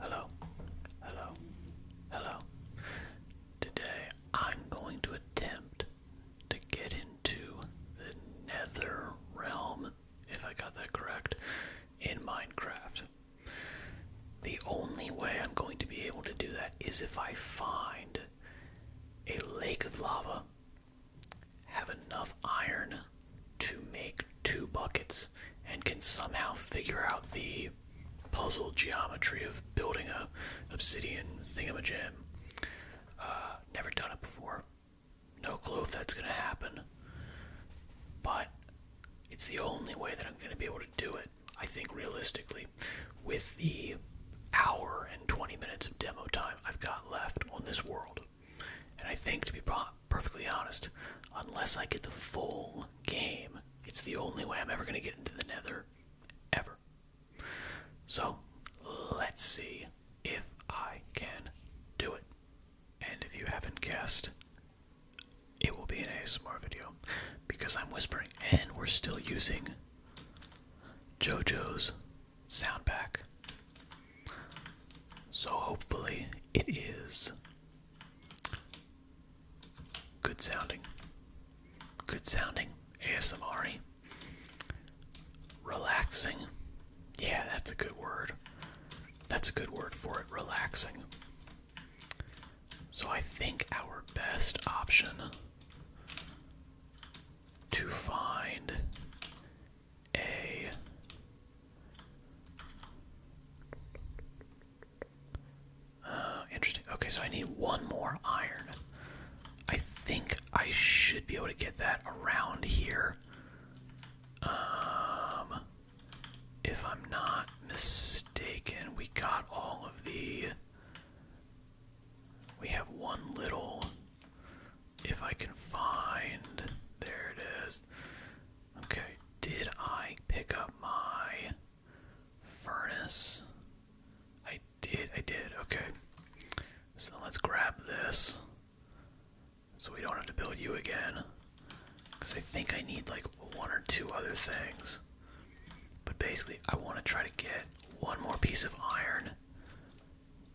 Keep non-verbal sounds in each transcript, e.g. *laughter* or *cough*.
Hello, hello, hello. Today I'm going to attempt to get into the nether realm, if I got that correct, in Minecraft. The only way I'm going to be able to do that is if I find a lake of lava, have enough iron to make two buckets and can somehow figure out the puzzle geometry of building a obsidian thingamajam. Uh, never done it before. No clue if that's gonna happen. But it's the only way that I'm gonna be able to do it, I think realistically. With the hour and 20 minutes of demo time I've got left on this world. And I think to be perfectly honest. Unless I get the full game, it's the only way I'm ever going to get into the nether. Ever. So, let's see if I can do it. And if you haven't guessed, it will be an ASMR video because I'm whispering and we're still using JoJo's sound pack. So hopefully it is Good sounding. Good sounding. ASMR. Relaxing. Yeah, that's a good word. That's a good word for it. Relaxing. So I think our best option to find a uh, interesting. Okay, so I need one more iron. I think I should be able to get that around here. Um, if I'm not mistaken, we got all of the. We have one little. If I can find. There it is. Okay, did I pick up my furnace? I did, I did, okay. So let's grab this. So we don't have to build you again. Because I think I need like one or two other things. But basically, I want to try to get one more piece of iron.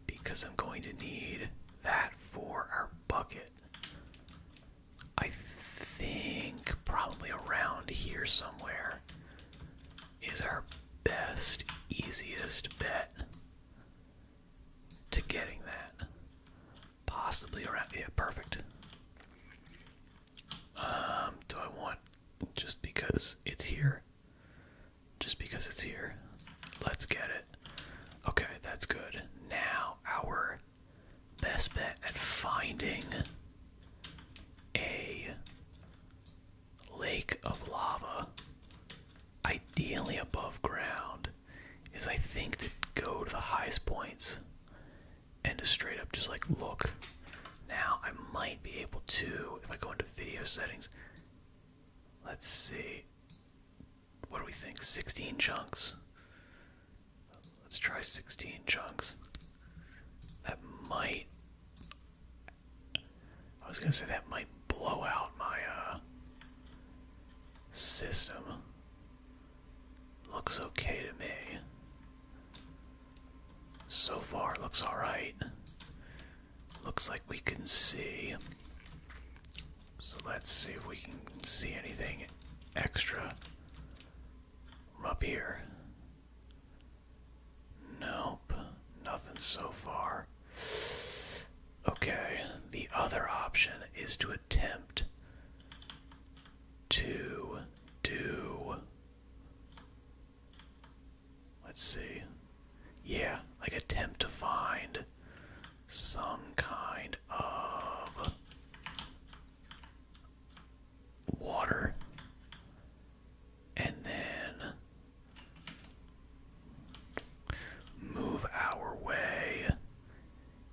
Because I'm going to need that for our bucket. I think probably around here somewhere is our best, easiest bet to getting that. Possibly around, here, perfect. Um, do I want just because it's here? Just because it's here. Let's get it. Okay, that's good. Now our best bet at finding a lake of lava, ideally above ground, is I think to go to the highest points and to straight up just like look. Now I might be able to, if I go into video settings, let's see, what do we think? 16 chunks? Let's try 16 chunks. That might. I was gonna say that might blow out my uh, system. Looks okay to me. So far, looks alright. Looks like we can see so let's see if we can see anything extra up here. Nope, nothing so far. Okay, the other option is to attempt to do. Let's see. Yeah, like attempt to find some kind of water and then move our way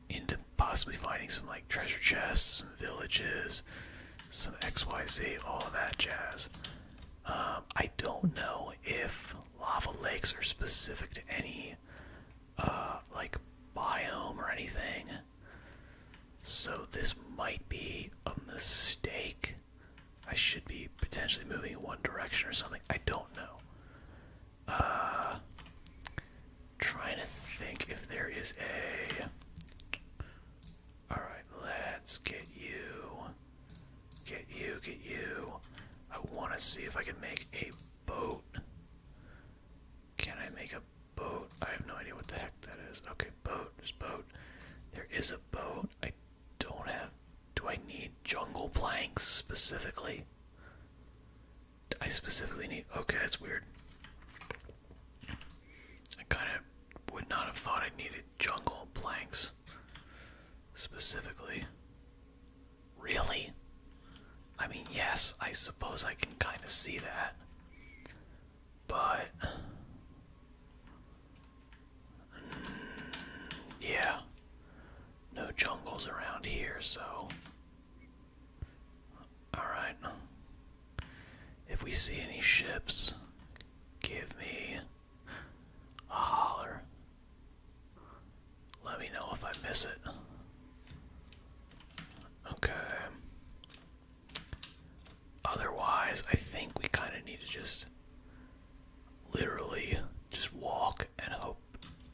into possibly finding some like treasure chests, some villages, some XYZ, all that jazz. Um, I don't know if lava lakes are specific to any uh, like biome or anything. So this might be a mistake. I should be potentially moving in one direction or something. I don't know. Uh, trying to think if there is a. All right, let's get you, get you, get you. I want to see if I can make a boat. Can I make a boat? I have no idea what the heck that is. Okay, boat. There's boat. There is a boat. I don't have. Do I need jungle planks specifically? I specifically need. Okay, that's weird. I kind of would not have thought I needed jungle planks specifically. Really? I mean, yes, I suppose I can kind of see that. But. Mm, yeah. No jungles around here, so. Alright. If we see any ships, give me a holler. Let me know if I miss it. Okay. Otherwise, I think we kind of need to just literally just walk and hope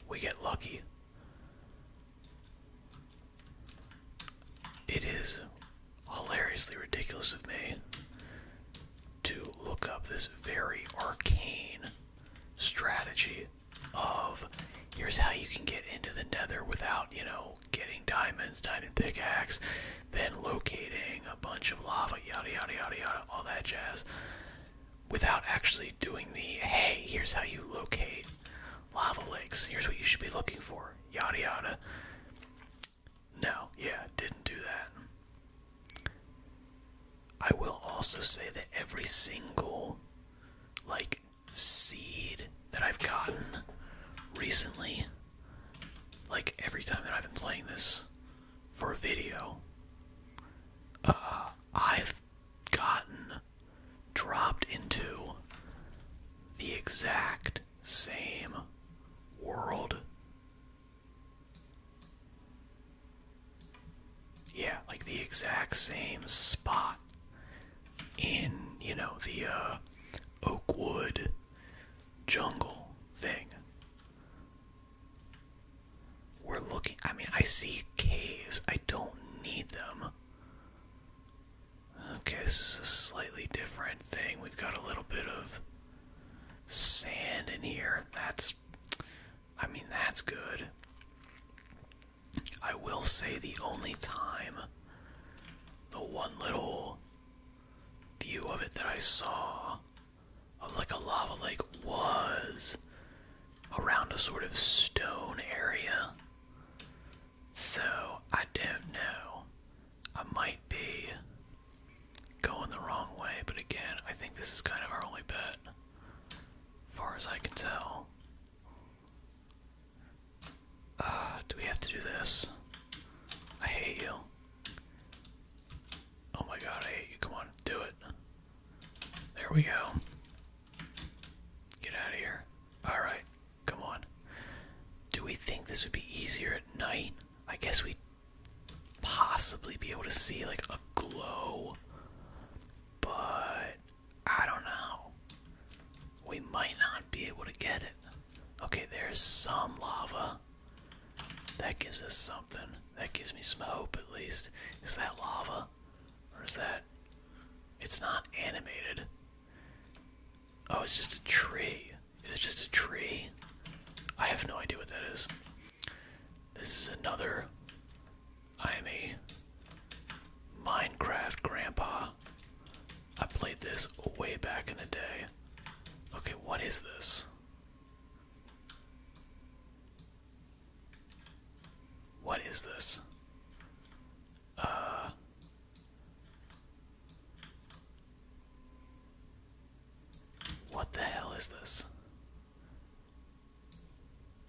we get lucky. It is hilariously ridiculous of me to look up this very arcane strategy of here's how you can get into the nether without, you know, getting diamonds, diamond pickaxe, then locating a bunch of lava, yada, yada, yada, yada, all that jazz, without actually doing the, hey, here's how you locate lava lakes, here's what you should be looking for, yada, yada. No, yeah, didn't do that. I will also say that every single like seed that I've gotten recently. Like every time that I've been playing this for a video, uh, I've gotten dropped into the exact same world. Yeah, like the exact same spot in, you know, the uh, Oakwood jungle thing. We're looking, I mean, I see caves. I don't need them. Okay, this is a slightly different thing. We've got a little bit of sand in here. That's, I mean, that's good. I will say the only time, the one little view of it that I saw of like a lava lake was around a sort of stone area. So I don't know. I might be going the wrong way, but again, I think this is kind of our only bet, far as I can tell. Uh, do we have to do this? I hate you. Oh my god, I hate you. Come on, do it. There we go. Get out of here. Alright, come on. Do we think this would be easier at night? I guess we'd possibly be able to see like a glow, but I don't know. We might not be able to get it. Okay, there's some lava. That gives us something. That gives me some hope at least. Is that lava? Or is that. It's not animated. Oh, it's just a tree. Is it just a tree? I have no idea what that is. This is another I am a Minecraft grandpa. I played this way back in the day. Okay, what is this? What is this? Uh What the hell is this?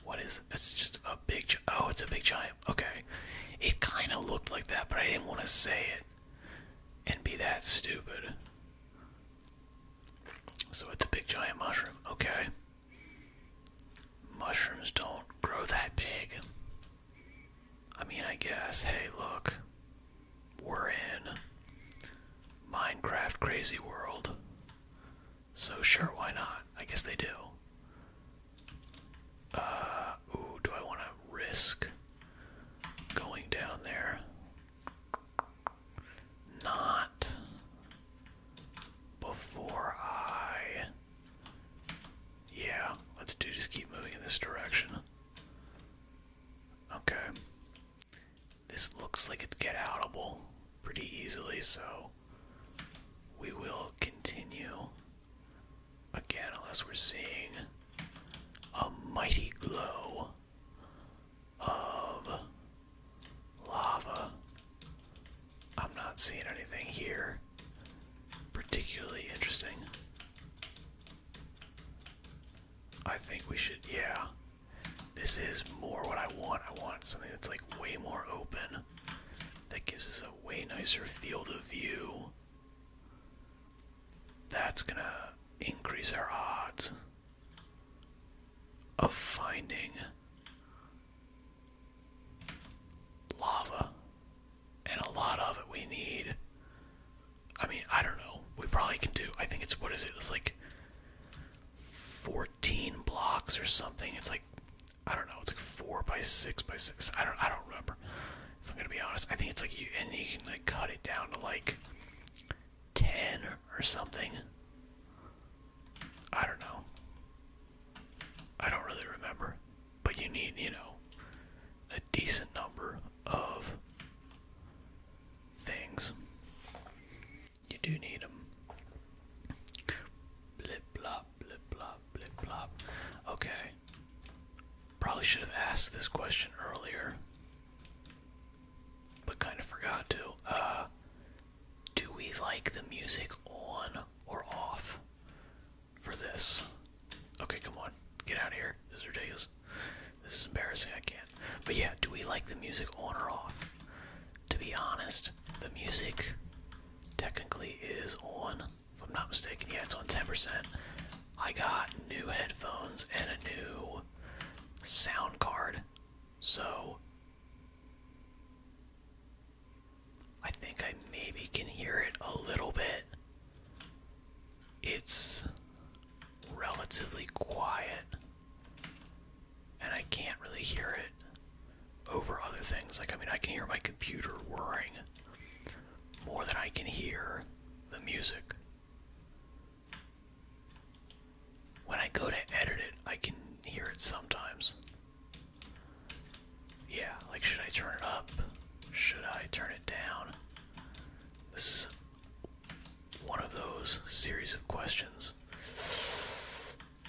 What is? It's just a big. Oh, it's a big giant. Okay, it kind of looked like that, but I didn't want to say it and be that stupid. So it's a big giant mushroom. Okay. Mushrooms don't grow that big. I mean, I guess. Hey, look. We're in Minecraft Crazy World. So sure, why not? I guess they do. Uh, ooh, do I want to risk going down there? Not before I. Yeah, let's do just keep moving in this direction. Okay. This looks like it's get outable pretty easily, so we will continue again unless we're seeing a mighty glow of lava. I'm not seeing anything here particularly interesting. I think we should, yeah. This is more what I want. I want something that's like way more open. That gives us a way nicer field of view. That's gonna increase our odds of finding lava. And a lot of it we need. I mean, I don't know. We probably can do. I think it's what is it? It's like 14 blocks or something. It's like I don't know. It's like four by six by six. I don't. I don't remember. If I'm gonna be honest, I think it's like you and you can like cut it down to like ten or something. I don't know. I don't really remember, but you need you know a decent number of things. You do need them. Blip blop, blip blop, blip blop. Okay. Probably should have asked this question earlier. But kind of forgot to. Uh, do we like the music on or off for this? Okay, come on. Get out of here. This is ridiculous. This is embarrassing. I can't. But yeah, do we like the music on or off? to be honest. The music technically is on, if I'm not mistaken. Yeah, it's on 10%. I got new headphones and a new sound card, so I think I maybe can hear it a little bit. It's relatively quiet, and I can't really hear it over other things. Like, I mean, I can hear my computer whirring more than I can hear the music. When I go to edit it, I can hear it sometimes. Yeah, like, should I turn it up? Should I turn it down? This is one of those series of questions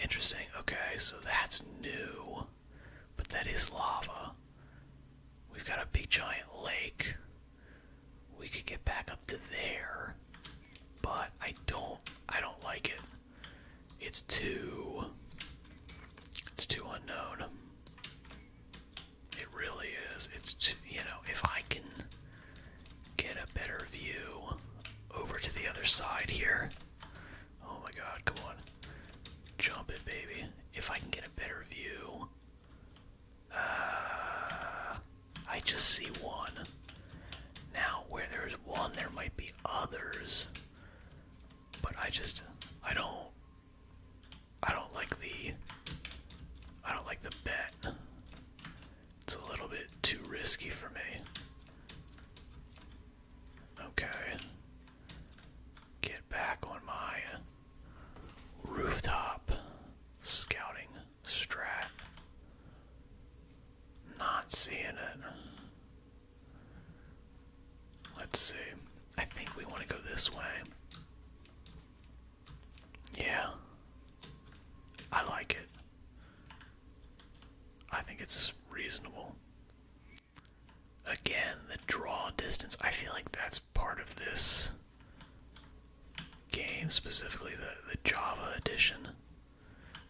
Interesting. Okay, so that's new. But that is lava. We've got a big giant lake. We could get back up to there. But I don't I don't like it. It's too it's too unknown. It really is. It's too, you know, if I can get a better view over to the other side here. Oh my god, come on. Jump it, baby. If I can get a better view. Ah, I just see one. Now, where there's one, there might be others. But I just, I don't, I don't like the, I don't like the bet. It's a little bit too risky for me. Okay. Get back on my rooftop scouting strat. Not seeing it. Let's see. I think we want to go this way. Yeah. I like it. I think it's reasonable. Again, the draw distance. I feel like that's part of this game, specifically the, the Java edition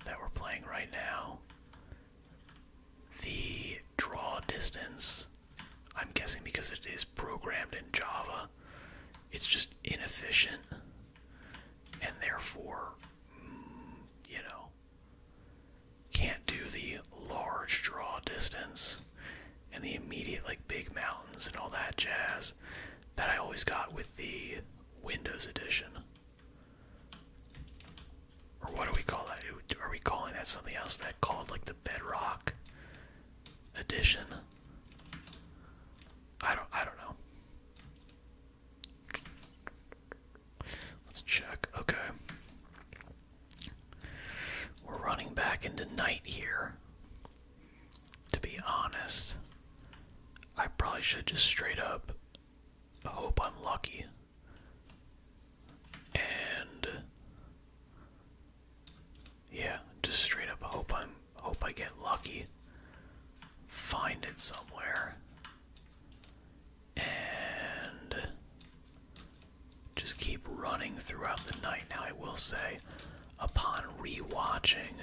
that we're playing right now. The draw distance, I'm guessing because it is programmed in Java, it's just inefficient and therefore you know, can't do the large draw distance and the immediate, like, big mountains and all that jazz that I always got with the Windows Edition. Or what do we call that? Are we calling that something else? That called, like, the Bedrock Edition? I don't, I don't know. Let's check. Okay. We're running back into night here. To be honest, I probably should just straight up hope I'm lucky. And yeah, just straight up hope i hope I get lucky find it somewhere and just keep running throughout the night. Now, I will say, upon rewatching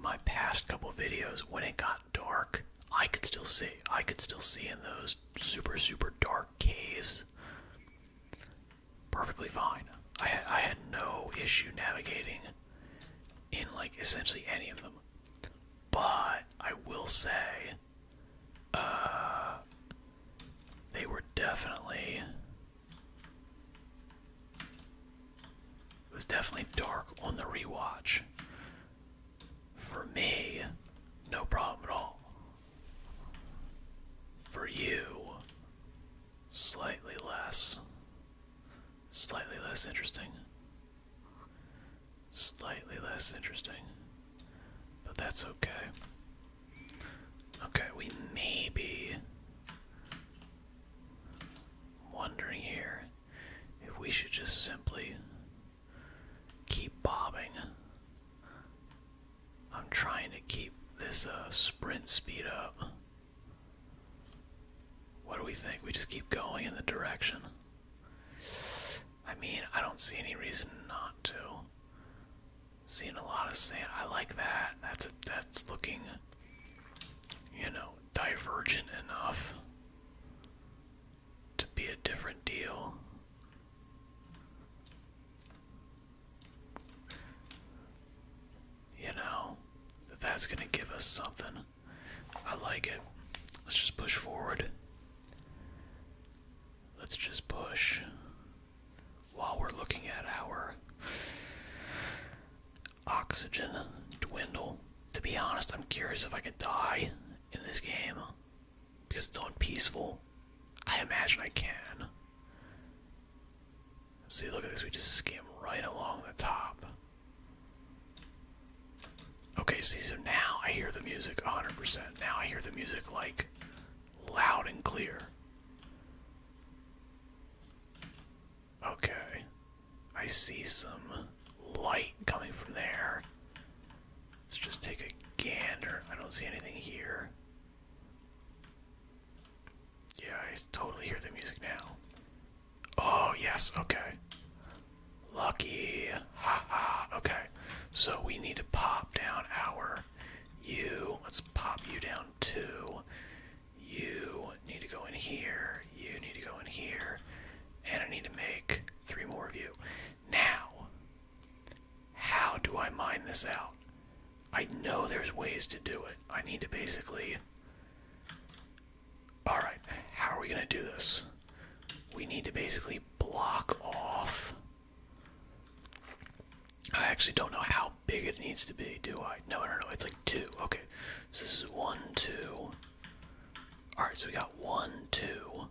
my past couple videos, when it got dark, I could still see. I could still see in those super, super dark caves. Perfectly fine. I had, I had no issue navigating in like essentially any of them. But I will say, uh, they were definitely. It was definitely dark on the rewatch. For me, no problem at all. For you, slightly less. Slightly less interesting. Slightly less interesting. But that's okay. Okay, we may be wondering here if we should just simply keep bobbing. I'm trying to keep this uh, sprint speed up. What do we think? We just keep going in the direction. I mean, I don't see any reason not to. Seeing a lot of sand. I like that. That's that's looking, you know, divergent enough to be a different deal. You know, that that's gonna give us something. I like it. Let's just push forward. Let's just push while we're looking at our oxygen dwindle. To be honest, I'm curious if I could die in this game because it's on peaceful. I imagine I can. See, look at this. We just skim right along the top. Okay, so now I hear the music 100%. Now I hear the music like loud and clear. Okay. I see some light coming from there. Let's just take a gander. I don't see anything here. Yeah, I totally hear the music now. Oh, yes, okay. Lucky. okay. So we need to pop down our you. Let's pop you down too. You need to go in here. You need to go in here. And I need to make three more of you. Now, how do I mine this out? I know there's ways to do it. I need to basically Alright, how are we going to do this? We need to basically block off. I actually don't know how big it needs to be, do I? No, no, no, it's like two. Okay, so this is one, two. Alright, so we got one, two.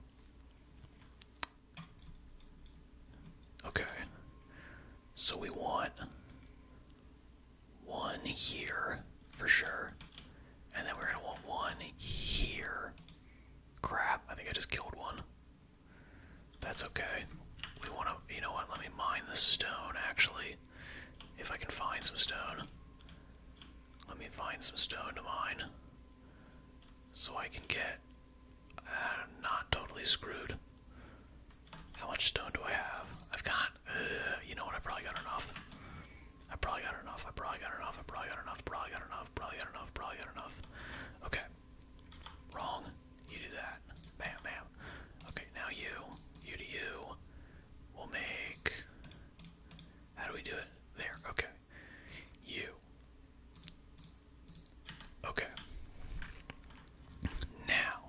Okay, so we want one here for sure. And then we're gonna want one here. Crap, I think I just killed one. That's okay. We wanna, you know what, let me mine the stone actually. If I can find some stone. Let me find some stone to mine. So I can get uh, not totally screwed. How much stone do I have? I've got uh, *sighs* you know what? I probably got enough. I probably got enough. I probably got enough. I probably got enough. Probably got enough. Probably got enough. Probably got enough. Okay. Wrong. You do that. Bam, bam. Okay, now you. You to you. We'll make. How do we do it? There. Okay. You. Okay. Now,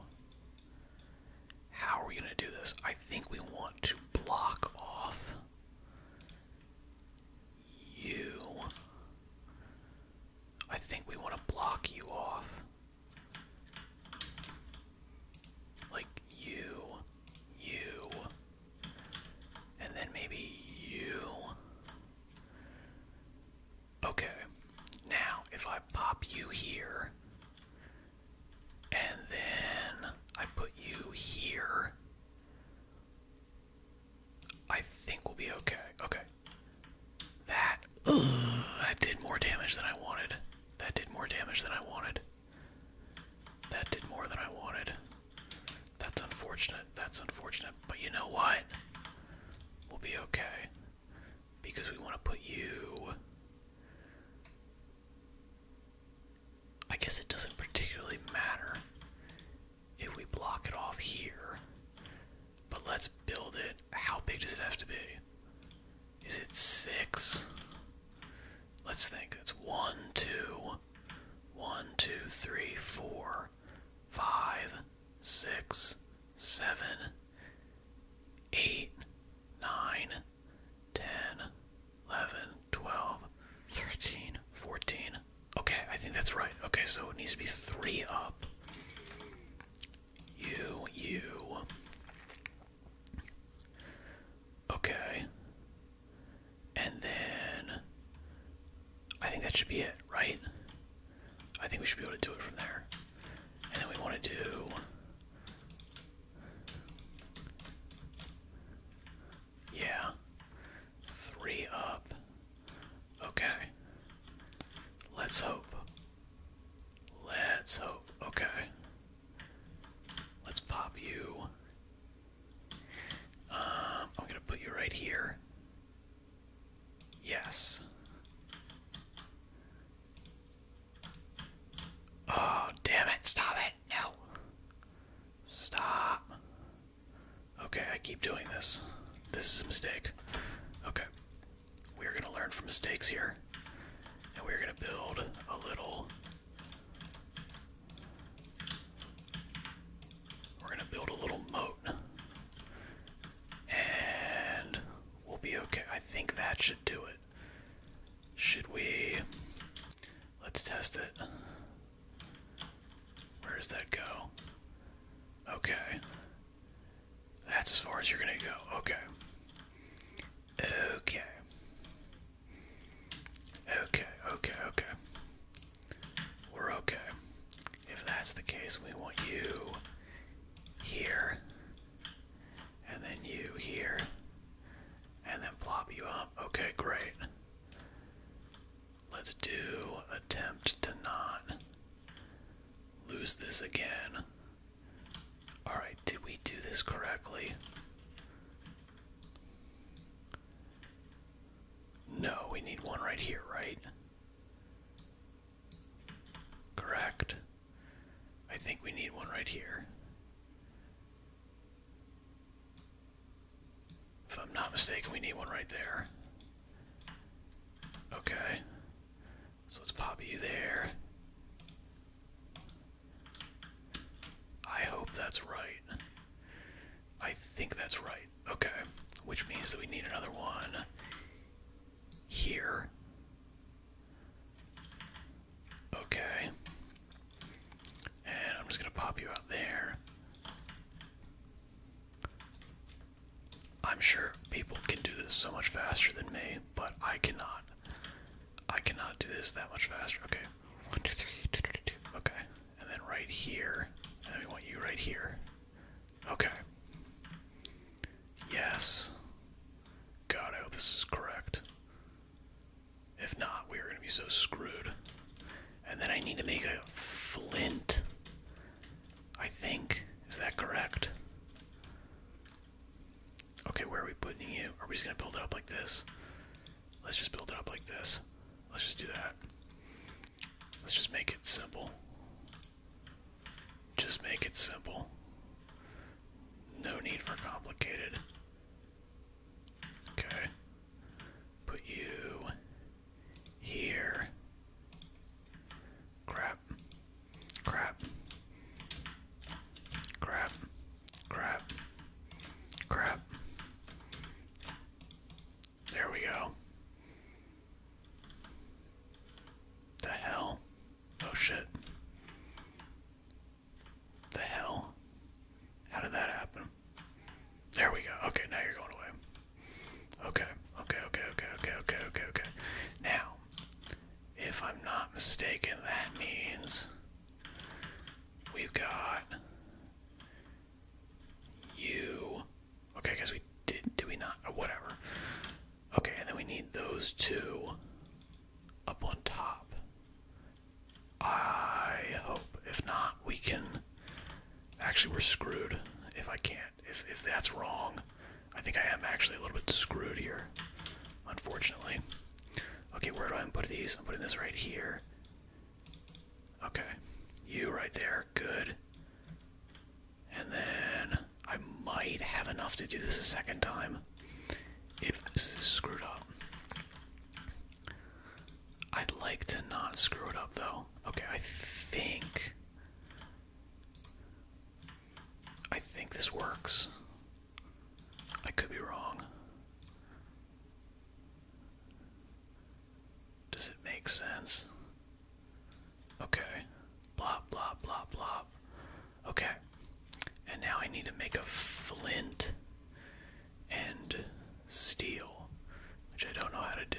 how are we going to do this? I think we want to block off you. I think we want to block you off. Like you, you, and then maybe you. Okay, now if I pop you here, and then I put you here. I think we'll be okay. Okay. That, ugh, did more damage than I wanted. That did more damage than I wanted. That did more than I wanted. That's unfortunate. That's unfortunate. But you know what? We'll be okay because we want to put you. I guess it doesn't particularly matter if we block it off here, but let's build it. How big does it have to be? Is it six? Let's think. That's one, two, one, two, three, four, five, six, seven, eight, nine, 10, 11, 12, 13, 14. Okay, I think that's right. Okay, so it needs to be three up. You, you. Okay. And then I think that should be it, right? I think we should be able to do it from there. And then we want to do yeah. Three up. Okay. Let's hope. Let's hope. Okay. Let's pop you. Um, I'm gonna put you right here. Yes. Oh, damn it. Stop it. No. Stop. Okay, I keep doing this. This is a mistake. Okay. We're going to learn from mistakes here. And we're going to build a little. We're going to build a little moat. And we'll be okay. I think that should do it it. Should we? Let's test it. Where does that go? Okay. That's as far as you're gonna go. Okay. Okay. Okay, okay, okay. We're okay. If that's the case, we want you here and then you here, and then plop you up. Okay, great. Let's do attempt to not lose this again. Alright, did we do this correctly? No, we need one right here, right? Correct. I think we need one right here. If I'm not mistaken, we need one right there. Okay. So let's pop you there. I hope that's right. I think that's right. Okay. Which means that we need another one here. Okay. And I'm just going to pop you out there. I'm sure people can do this so much faster than me, but I cannot. I cannot do this that much faster. Okay. One, two, three, two, two, two. Okay. And then right here. And we want you right here. Okay. Yes. God, I hope this is correct. If not, we are going to be so screwed. And then I need to make a flint. I think. Is that correct? Okay, where are we putting it? Are we just going to build it up like this? Let's just build it up like this. Let's just do that. Let's just make it simple. Just make it simple. No need for complicated. Okay. Put you here. Crap. Crap. Crap. Crap. Crap. There we go. The hell? Oh shit. The hell? How did that happen? There we go. Okay, now you're going away. Okay, okay, okay, okay, okay, okay, okay, okay. Now, if I'm not mistaken, that means we've got you. Okay, I guess we did. Do we not? Oh, whatever. Okay, and then we need those two up on top. I hope. If not, we can. Actually, we're screwed if I can't. If, if that's wrong, I think I am actually a little bit screwed here, unfortunately. Okay, where do I put these? I'm putting this right here. Okay, you right there. Good. And then I might have enough to do this a second time if this is screwed up. I'd like to not screw it up though. Okay, I think. I think this works. I could be wrong. Does it make sense? Okay. Blop, blop, blop, blop. Okay. And now I need to make a flint and steel, which I don't know how to do.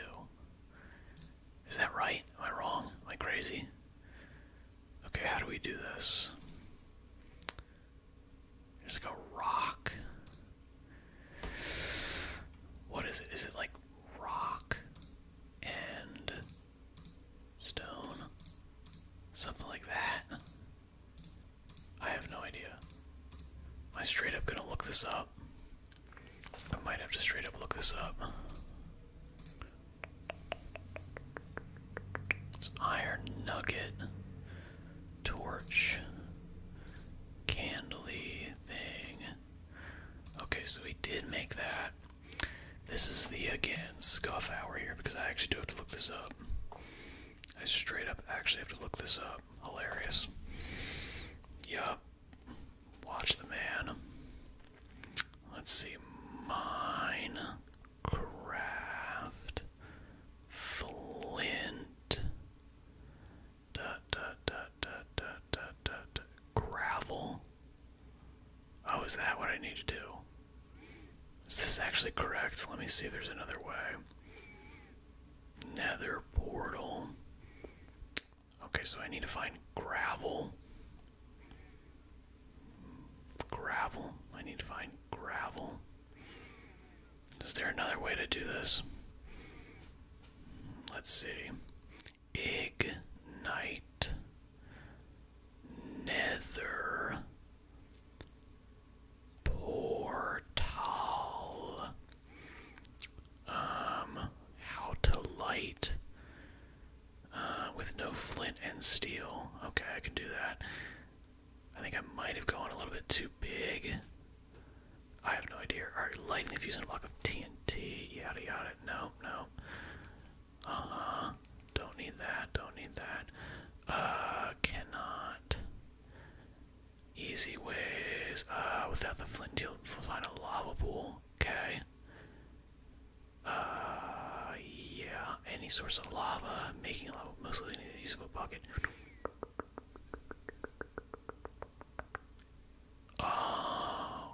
Is that right? Am I wrong? Am I crazy? Okay, how do we do this? There's like a rock. What is it? Is it like rock and Stone. Something like that. I have no idea. Am I straight up gonna look this up? I might have to straight up look this up. It's iron nugget, torch, candly thing. Okay, so we did make that. This is the again scuff hour here because I actually do have to look this up. I straight up actually have to look this up. Hilarious. Yup. Watch the man. Let's see. Minecraft. Flint. Dot, dot, dot, dot, dot, dot, dot, gravel. Oh, is that what I need to do? Is this actually correct? Let me see if there's another way. Nether portal. Okay, so I need to find gravel. Gravel. I need to find gravel. Is there another way to do this? Let's see. Egg Ignite. Nether, Portal, um, How to Light, uh, with no flint and steel. Okay, I can do that. I think I might have gone a little bit too big. I have no idea. Alright, lightning fusion block of TNT. Yada yada. No, no. Uh-huh. Don't need that. Don't need that. Uh, cannot. Easy ways. Uh, without the flint, you find a lava pool. Okay. Uh, yeah. Any source of lava, making a mostly in the usable bucket. Oh.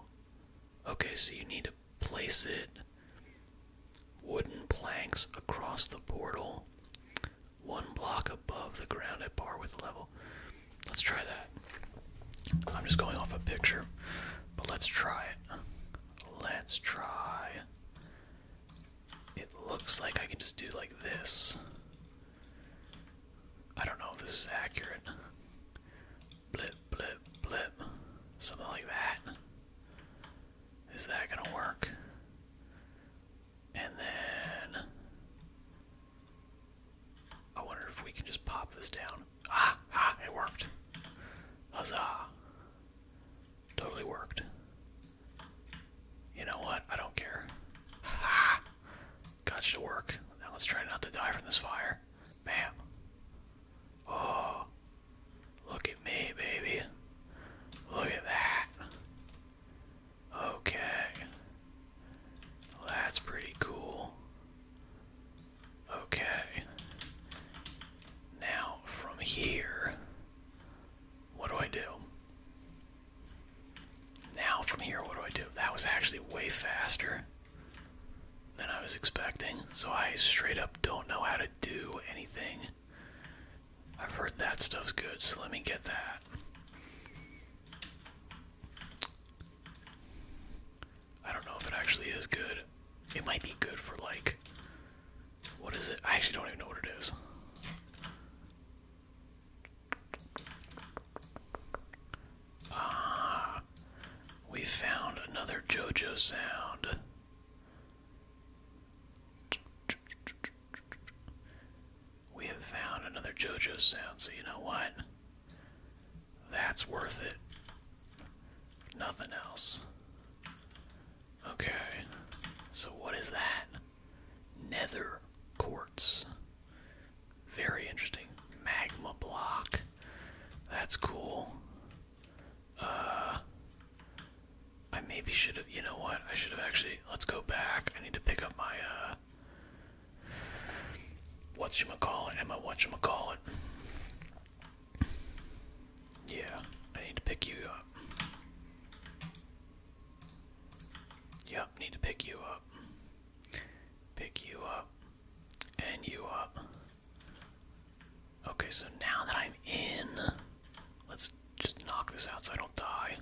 Okay, so you need to place it. Wooden planks across the portal, one block above the ground at bar with level. Let's try that. I'm just going off a picture, but let's try it. Let's try. It looks like I can just do like this. I don't know if this is accurate blip, blip, blip, something like that. Is that gonna work? And then I wonder if we can just pop this down. Ah, ah, it worked. Huzzah. Totally worked. You know what? I don't care. Ah, got to work. Now let's try not to die from this fire. Bam. Oh, Look at me, baby. Look at that. Okay. that's pretty cool. Okay. Now, from here, what do I do? Now, from here, what do I do? That was actually way faster than I was expecting. So I straight up don't know how to do anything. I've heard that stuff's good, so let me get that. I don't know if it actually is good. It might be good for like. What is it? I actually don't even know what it is. Ah, we found another JoJo sound. We have found another JoJo sound, so you know what? That's worth it. Nothing else. Okay, so what is that? Nether quartz. Very interesting. Magma block. That's cool. Uh, I maybe should have. You know what? I should have actually. Let's go back. I need to pick up my. uh What's you call it? Emma? What you call it? Yeah, I need to pick you up. Yep, need to pick you up. Pick you up. And you up. Uh, okay, so now that I'm in, let's just knock this out so I don't die.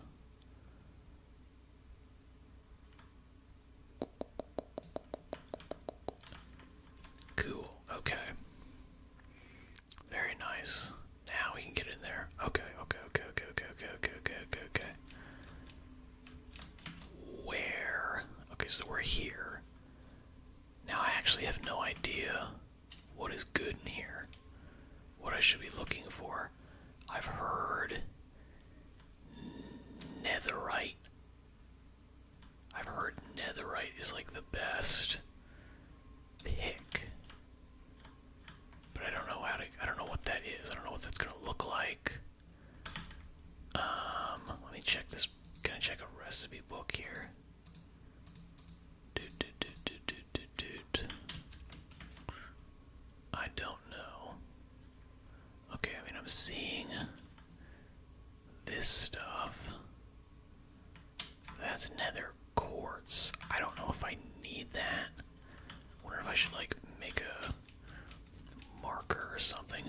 Cool, okay. Very nice. Now we can get in there. Okay, okay, okay, okay, okay, okay, okay, okay, okay, okay. Where? Okay, so we're here. Now I actually have no idea what is good in here. What I should be looking for. I've heard netherite. I've heard netherite is like the best pick. But I don't know how to I don't know what that is. I don't know what that's gonna look like. Um let me check this Gonna check a recipe book here. I don't know. Okay, I mean, I'm seeing this stuff. That's nether quartz. I don't know if I need that. Wonder if I should like make a marker or something.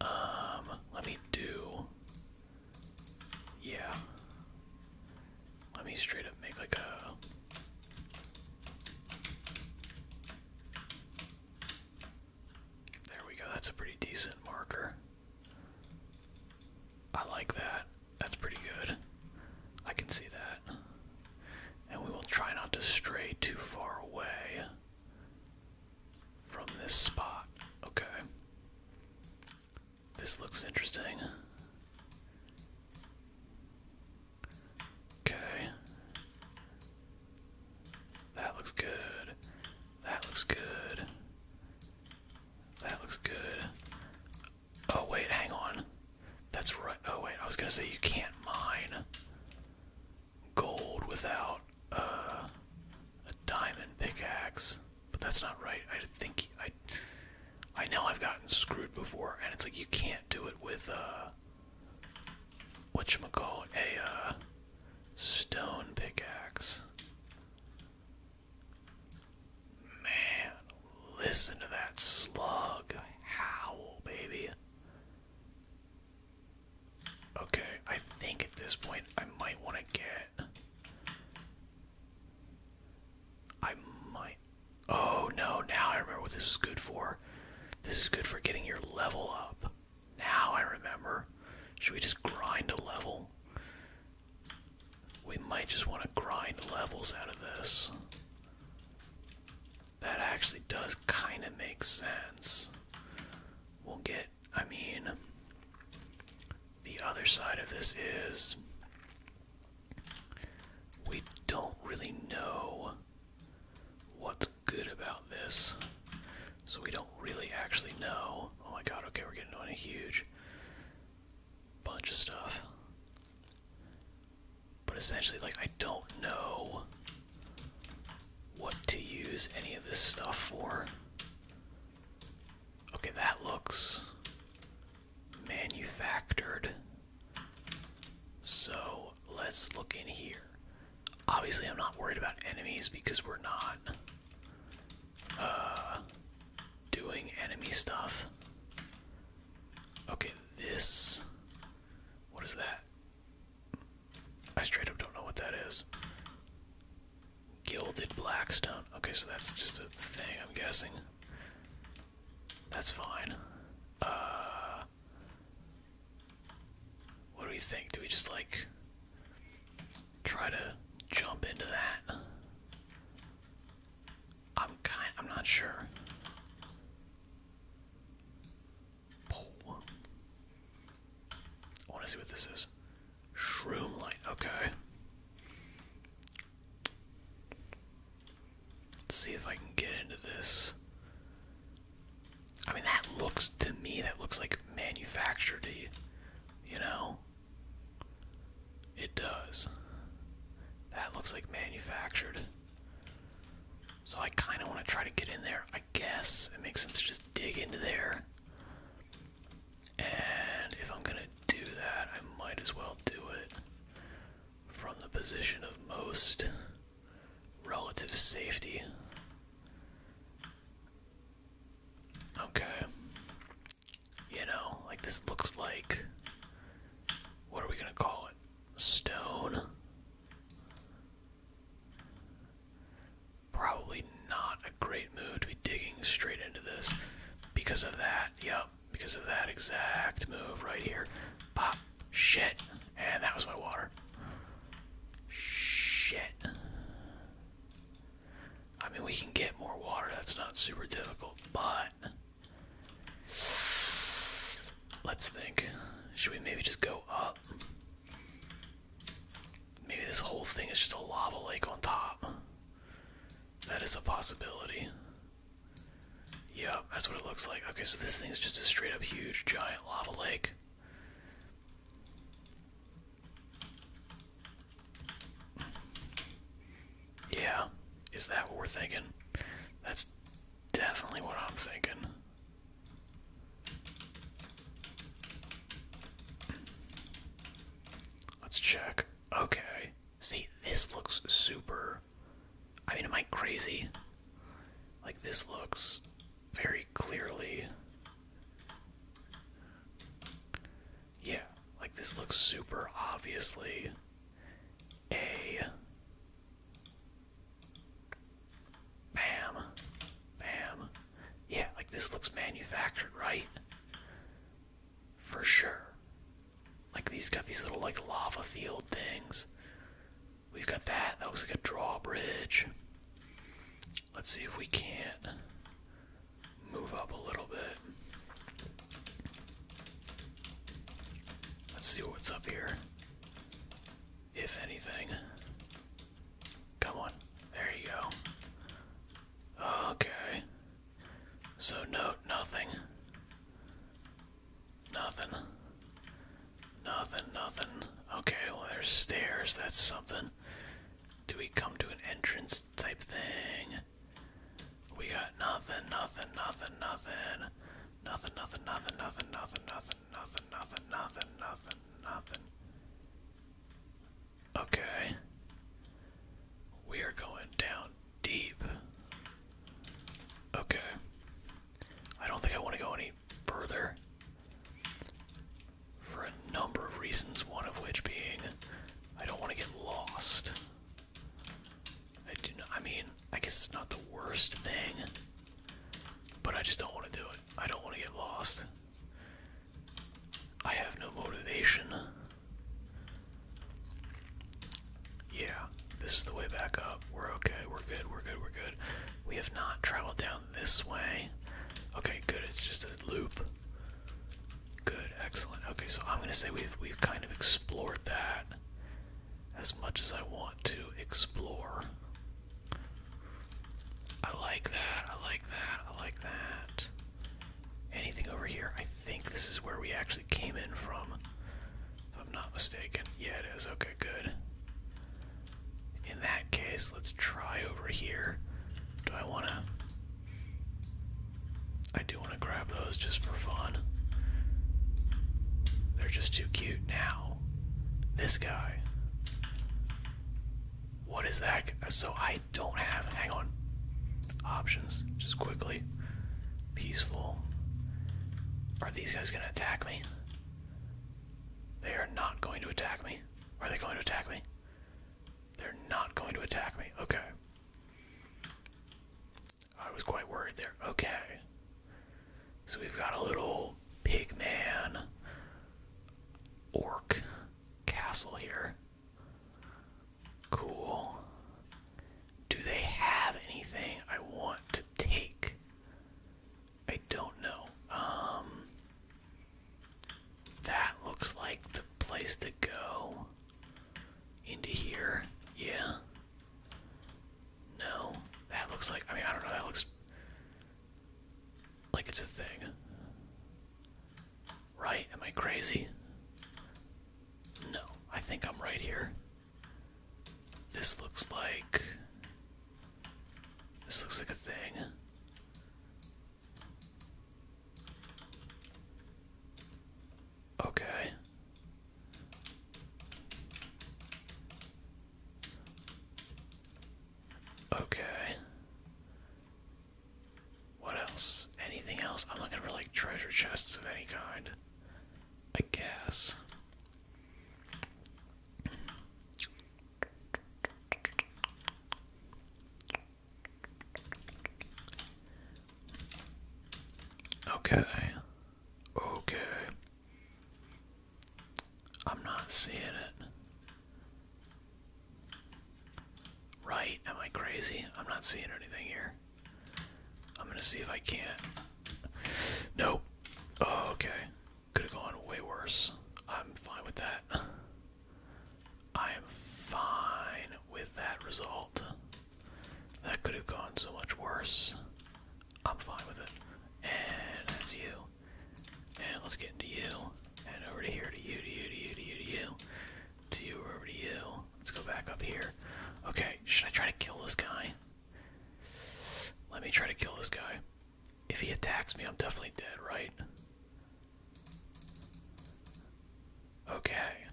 Um, let me do. Yeah. Let me straight up make like a. There we go. That's a pretty decent marker. I like that. That's pretty good. I can see that. And we will try not to stray too far away from this spot. Okay. This looks interesting. Okay. That looks good. That looks good. That looks good. Oh, wait, hang on. That's right. Oh, wait, I was gonna say you can't mine gold without uh, a diamond pickaxe, but that's not right. I think I, I know I've gotten screwed before, and it's like you can't do it with uh, a what uh, you call a stone pickaxe. Man, listen to that slug howl, baby. Okay, I think at this point I might want to get. I might. Oh no, now I remember what this is good for. This is good for getting your level up. Now I remember. Should we just grind a level? We might just want to grind levels out of this. That actually does kind of make sense. We'll get I mean, the other side of this is we don't really know what's good about this. So we don't really actually know. Oh my god, okay, we're getting on a huge bunch of stuff. But essentially, like, I don't know what to use any of this stuff for. Okay, that looks manufactured. So let's look in here. Obviously, I'm not worried about enemies because we're not uh, doing enemy stuff. Okay, this. What is that? I straight up don't know what that is. Gilded blackstone. Okay, so that's just a thing, I'm guessing. That's fine. Uh, what do we think? Do we just like try to jump into that? I'm kind. I'm not sure. I want to see what this is. Shroom light. Okay. Let's see if I can get into this. I mean, that looks to me that looks like manufactured. You know. It does. That looks like manufactured. So I kind of want to try to get in there. I guess it makes sense to just dig into there. And if I'm gonna do that, I might as well do it from the position of most relative safety. Okay. You know, like this looks like. What are we gonna call it? Stone? Probably not a great move to be digging straight into this because of that. Yep, because of that exact move right here. Pop. Shit. And that was my water. Shit. I mean, we can get more water. That's not super difficult, but. Let's think. Should we maybe just go up? Maybe this whole thing is just a lava lake on top. That is a possibility. Yep, that's what it looks like. Okay, so this thing is just a straight up huge, giant lava lake. Yeah, is that what we're thinking? That's definitely what I'm thinking. Let's check. Okay. See, this looks super. I mean, am I crazy? Like, this looks very clearly. Yeah, like, this looks super obviously a Bam. Bam. Yeah, like this looks manufactured, right? For sure. Like these got these little like lava field things. We've got that. That looks like a drawbridge. Let's see if we can't move up a little bit. Let's see what's up here if anything. Come on. There you go. Okay. So, no, nothing. Nothing. Nothing, nothing. Okay, well, there's stairs. That's something. Do we come to an entrance type thing? We got nothing, nothing, nothing, nothing. Nothing, nothing, nothing, nothing, nothing, nothing nothing, nothing, nothing, nothing, nothing, Okay. We are going down deep. Okay. I don't think I want to go any further. For a number of reasons, one of which being I don't want to get lost. I do not, I mean, I guess it's not the worst thing. But I just don't want to do it. I don't want to get lost. I have no motivation. Yeah, this is the way back up. We're okay, we're good, we're good, we're good. We have not traveled down this way. Okay, good, it's just a loop. Good, excellent. Okay, so I'm gonna say we've we've kind of explored that as much as I want to explore. I like that, I like that, I like that. Anything over here? I think this is where we actually came in from, if I'm not mistaken. Yeah, it is. Okay, good. In that case, let's try over here. Do I want to. I do want to grab those just for fun. They're just too cute now. This guy. What is that? So I don't have. Hang on. Options. Just quickly. Peaceful. Are these guys going to attack me? They are not going to attack me. Are they going to attack me? They're not going to attack me. Okay. I was quite worried there. Okay. So we've got a little pig man orc castle here. Cool. Do they have anything I want to take? I don't know. Um that looks like the place to go. Into here. Yeah. No. That looks like I mean I don't know, that looks like it's a thing. Right? Am I crazy? No, I think I'm right here. This looks like. This looks like a thing. Okay. Okay. What else? Anything else? I'm looking for like treasure chests of any kind. I guess. Okay. Okay. I'm not seeing it. Right? Am I crazy? I'm not seeing anything here. I'm gonna see if I can't. Nope. Oh, okay. Could have gone way worse. I'm fine with that. I am fine with that result. That could have gone so much worse. I'm fine with it. And that's you. And let's get into you. And over to here to you, to you, to you, to you, to you. To you, over to you. Let's go back up here. Okay, should I try to kill this guy? Let me try to kill this guy. If he attacks me, I'm definitely dead, right? Okay.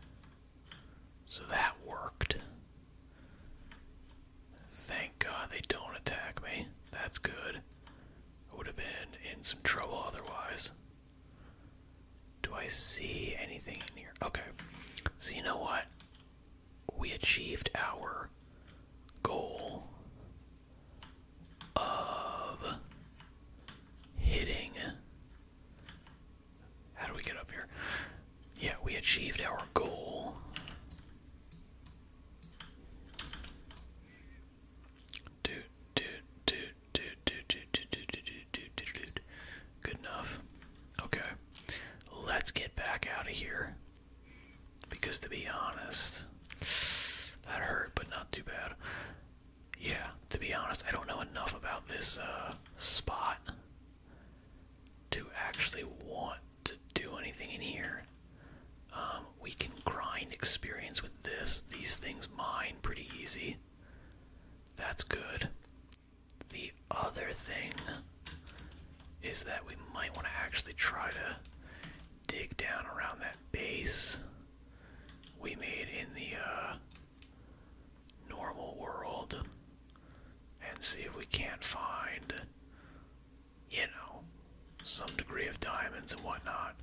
So that worked. Thank God they don't attack me. That's good. I would have been in some trouble otherwise. Do I see anything in here? Okay. So, you know what? We achieved our goal of hitting. How do we get up here? Yeah, we achieved our goal Good enough. Okay. Let's get back out of here. Because to be honest, that hurt, but not too bad. Yeah, to be honest, I don't know enough about this spot to actually want to do anything in here. Um, we can grind experience with this. These things mine pretty easy. That's good. The other thing is that we might want to actually try to dig down around that base we made in the uh, normal world and see if we can't find you know, some degree of diamonds and whatnot.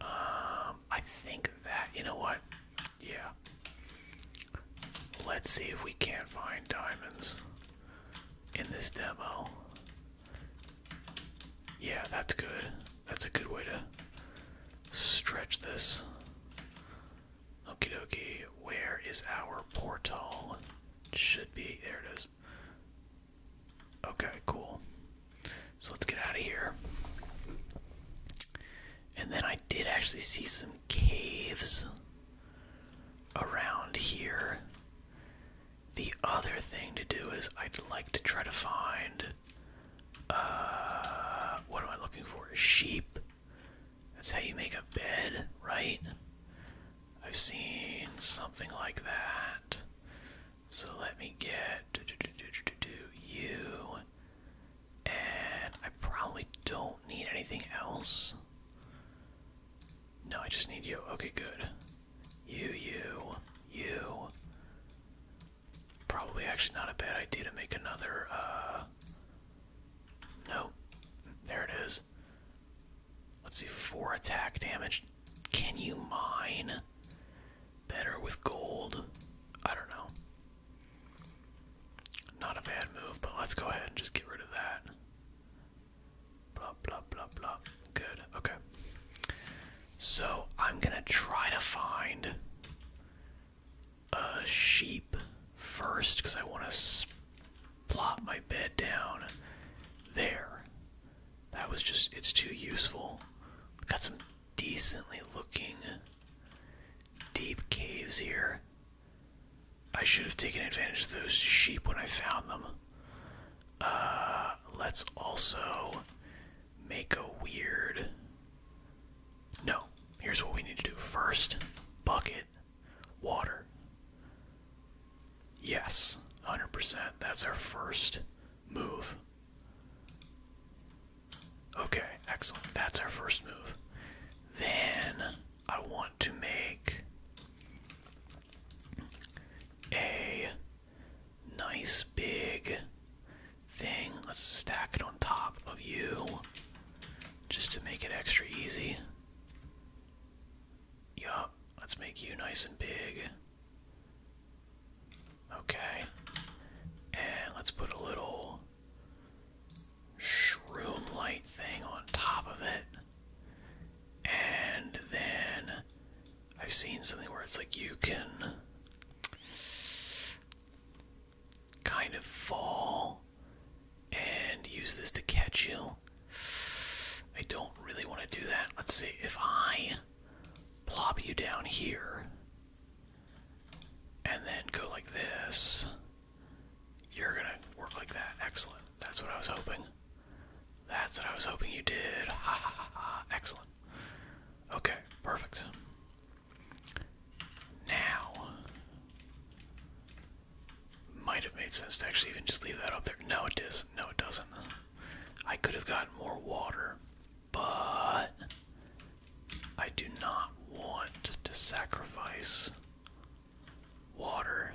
Um, I think that, you know what? Yeah. Let's see if we can't find diamonds in this demo. Yeah, that's good. That's a good way to stretch this. Okie dokie, where is our portal? Should be, there it is. Okay, cool. So let's get out of here. And then I did actually see some caves around here. The other thing to do is I'd like to try to find uh what am I looking for? Sheep. That's how you make a bed, right? I've seen something like that. So let me get you. And I probably don't need anything else. No, I just need you. Okay, good. You, you, you. Probably actually not a bad idea to make another, uh. Nope. There it is let Let's see, four attack damage. Can you mine better with gold? I don't know. Not a bad move, but let's go ahead and just get rid of that. Blah, blah, blah, blah. Good, okay. So I'm gonna try to find a sheep first because I want to plop my bed down there. That was just, it's too useful. got some decently looking deep caves here. I should have taken advantage of those sheep when I found them. Uh, let's also make a weird. No, here's what we need to do first bucket. Water. Yes, 100%. That's our first move. Okay, excellent. That's our first move. Then I want to make a nice big thing. Let's stack it on top of you just to make it extra easy. Yup. Let's make you nice and big. Okay. And let's put a little shroom light thing on top of it. And then I've seen something where it's like you can kind of fall and use this to catch you. I don't really want to do that. Let's see if I plop you down here and then go like this. You're gonna work like that. Excellent. That's what I was hoping. That's what I was hoping you did. *laughs* Excellent. Okay, perfect. Now, might have made sense to actually even just leave that up there. No, it does. not No, it doesn't. I could have gotten more water, but I do not want to sacrifice water.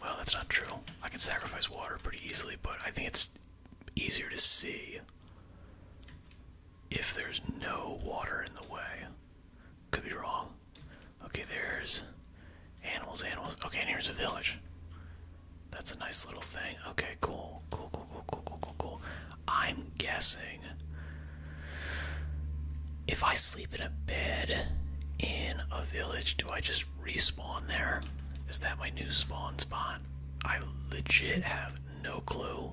Well, that's not true. I can sacrifice water pretty easily, but I think it's easier to see if there's no water in the way. Could be wrong. Okay, there's animals, animals. Okay, and here's a village. That's a nice little thing. Okay, cool. Cool, cool, cool, cool, cool, cool, cool. I'm guessing if I sleep in a bed in a village, do I just respawn there? Is that my new spawn spot? I legit have no clue.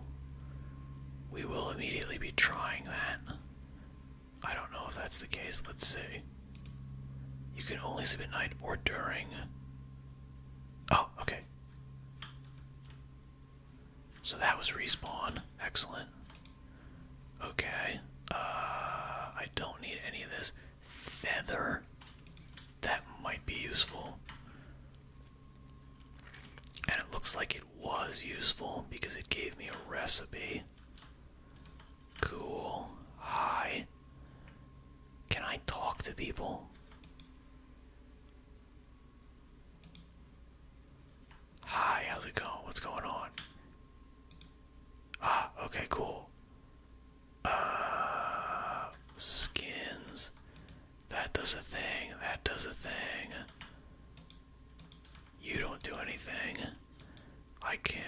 We will immediately be trying that. I don't know if that's the case. Let's see. You can only sleep at night or during. Oh, okay. So that was respawn. Excellent. Okay. Uh, I don't need any of this. Feather. That might be useful. And it looks like it was useful because it gave me a recipe. Cool. Hi. Can I talk to people? Hi, how's it going? What's going on? Ah, okay, cool. Uh, skins. That does a thing. That does a thing. You don't do anything. I can.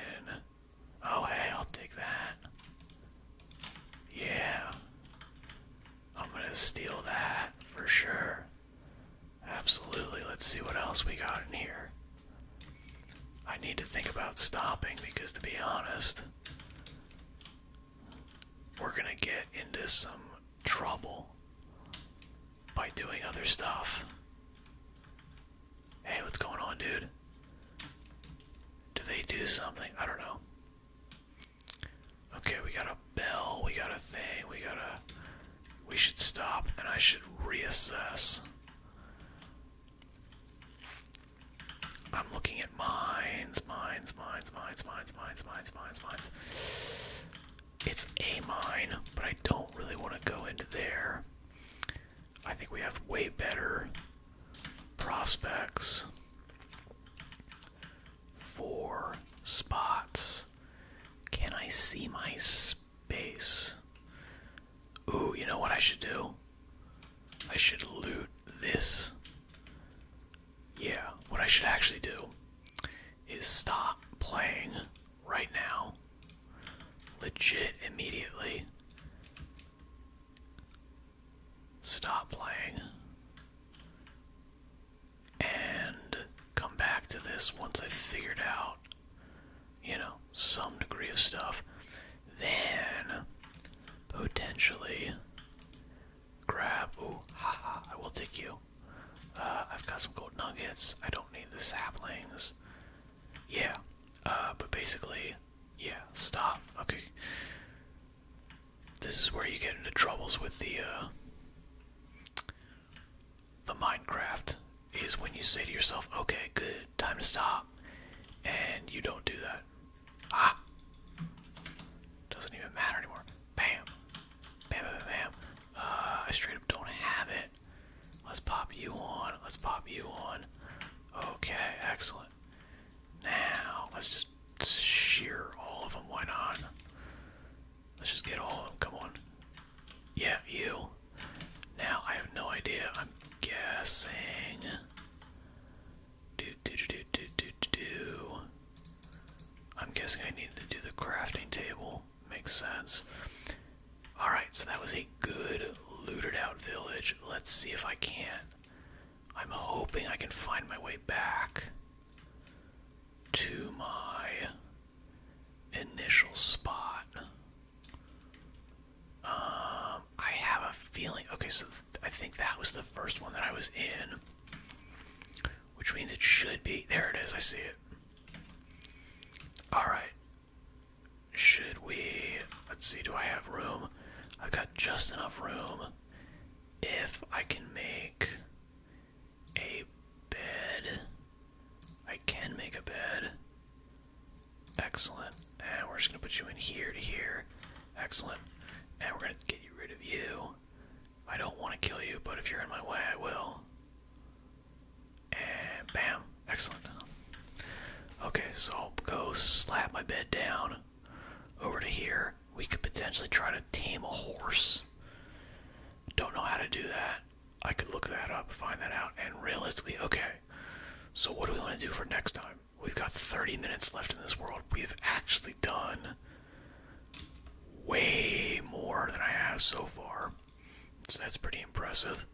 Oh, hey, I'll take that. Yeah. I'm gonna steal that for sure. Absolutely. Let's see what else we got in here. I need to think about stopping because, to be honest, we're gonna get into some trouble by doing other stuff. Hey, what's going on, dude? Do they do something? I don't know. Okay, we got a bell, we got a thing, we got to We should stop and I should reassess. I'm looking at mines, mines, mines, mines, mines, mines, mines, mines, mines. It's a mine, but I don't really want to go into there. I think we have way better prospects for spots. Can I see my space? Ooh, you know what I should do? I should loot this. Yeah, what I should actually do is stop playing right now. Legit immediately. Stop playing. And come back to this once i figured out, you know, some degree of stuff. Then, potentially, grab. Ooh, ha! I will take you. Uh, I've got some gold nuggets. I don't need the saplings. Yeah. Uh, but basically, yeah, stop. Okay. This is where you get into troubles with the, uh, the Minecraft, is when you say to yourself, okay, good, time to stop. And you don't do that. Ah! Doesn't even matter anymore. Bam! Bam, bam, uh, I straight up don't have it. Let's pop you on. Let's pop you on. Okay, excellent. Now, let's just shear all of them. Why not? Let's just get all of them. Come on. Yeah, you. Now, I have no idea. I'm guessing. Do, do, do, do, do, do, do. I'm guessing I need to do the crafting table makes sense. Alright, so that was a good looted out village. Let's see if I can. I'm hoping I can find my way back to my initial spot. Um, I have a feeling. Okay, so I think that was the first one that I was in, which means it should be. There it is, I see it. Alright. Should we. Let's see, do I have room? I've got just enough room if I can make a bed. I can make a bed. Excellent. And we're just gonna put you in here to here. Excellent. And we're gonna get you rid of you. I don't want to kill you, but if you're in my way, I will. And bam. Excellent. Okay, so I'll go slap my bed down over to here. We could potentially try to tame a horse. Don't know how to do that. I could look that up, find that out, and realistically, okay. So, what do we want to do for next time? We've got 30 minutes left in this world. We've actually done way more than I have so far. So that's pretty impressive.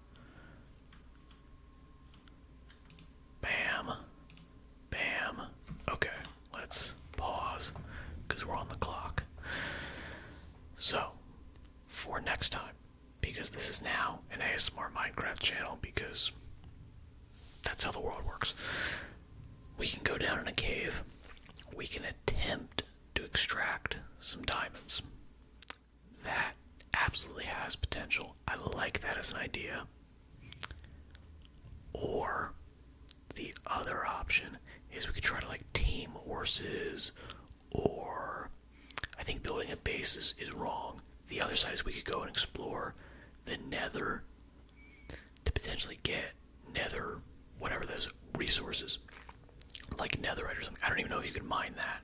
Bam. Bam. Okay, let's pause because we're on the clock. So, for next time, because this is now an ASMR Minecraft channel, because that's how the world works, we can go down in a cave, we can attempt to extract some diamonds. That absolutely has potential. I like that as an idea. Or the other option is we could try to like tame horses or I think building a base is, wrong. The other side is we could go and explore the nether to potentially get nether whatever those resources like netherite or something. I don't even know if you can mine that.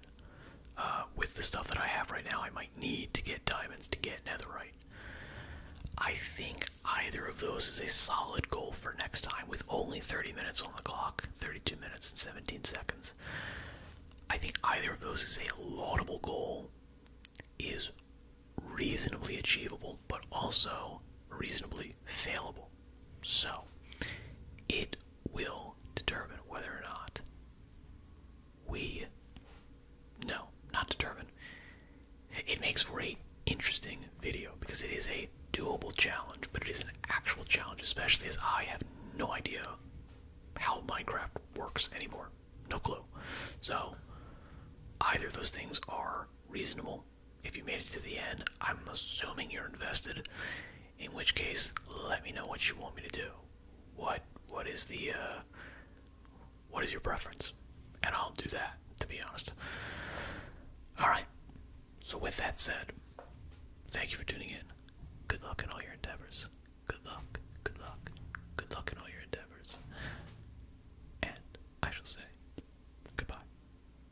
Uh, with the stuff that I have right now, I might need to get diamonds to get netherite. I think either of those is a solid goal for next time with only 30 minutes on the clock, 32 minutes and 17 seconds. I think either of those is a laudable goal, is reasonably achievable, but also reasonably failable. So, it will determine whether or not we. No, not determine. It makes for a interesting video because it is a doable challenge, but it is an actual challenge, especially as I have no idea how Minecraft works anymore. No clue. So, either those things are reasonable if you made it to the end, I'm assuming you're invested. In which case, let me know what you want me to do. What what is the uh, what is your preference? And I'll do that, to be honest. Alright. So with that said, thank you for tuning in. Good luck in all your endeavors. Good luck, good luck, good luck in all your endeavors. And I shall say goodbye.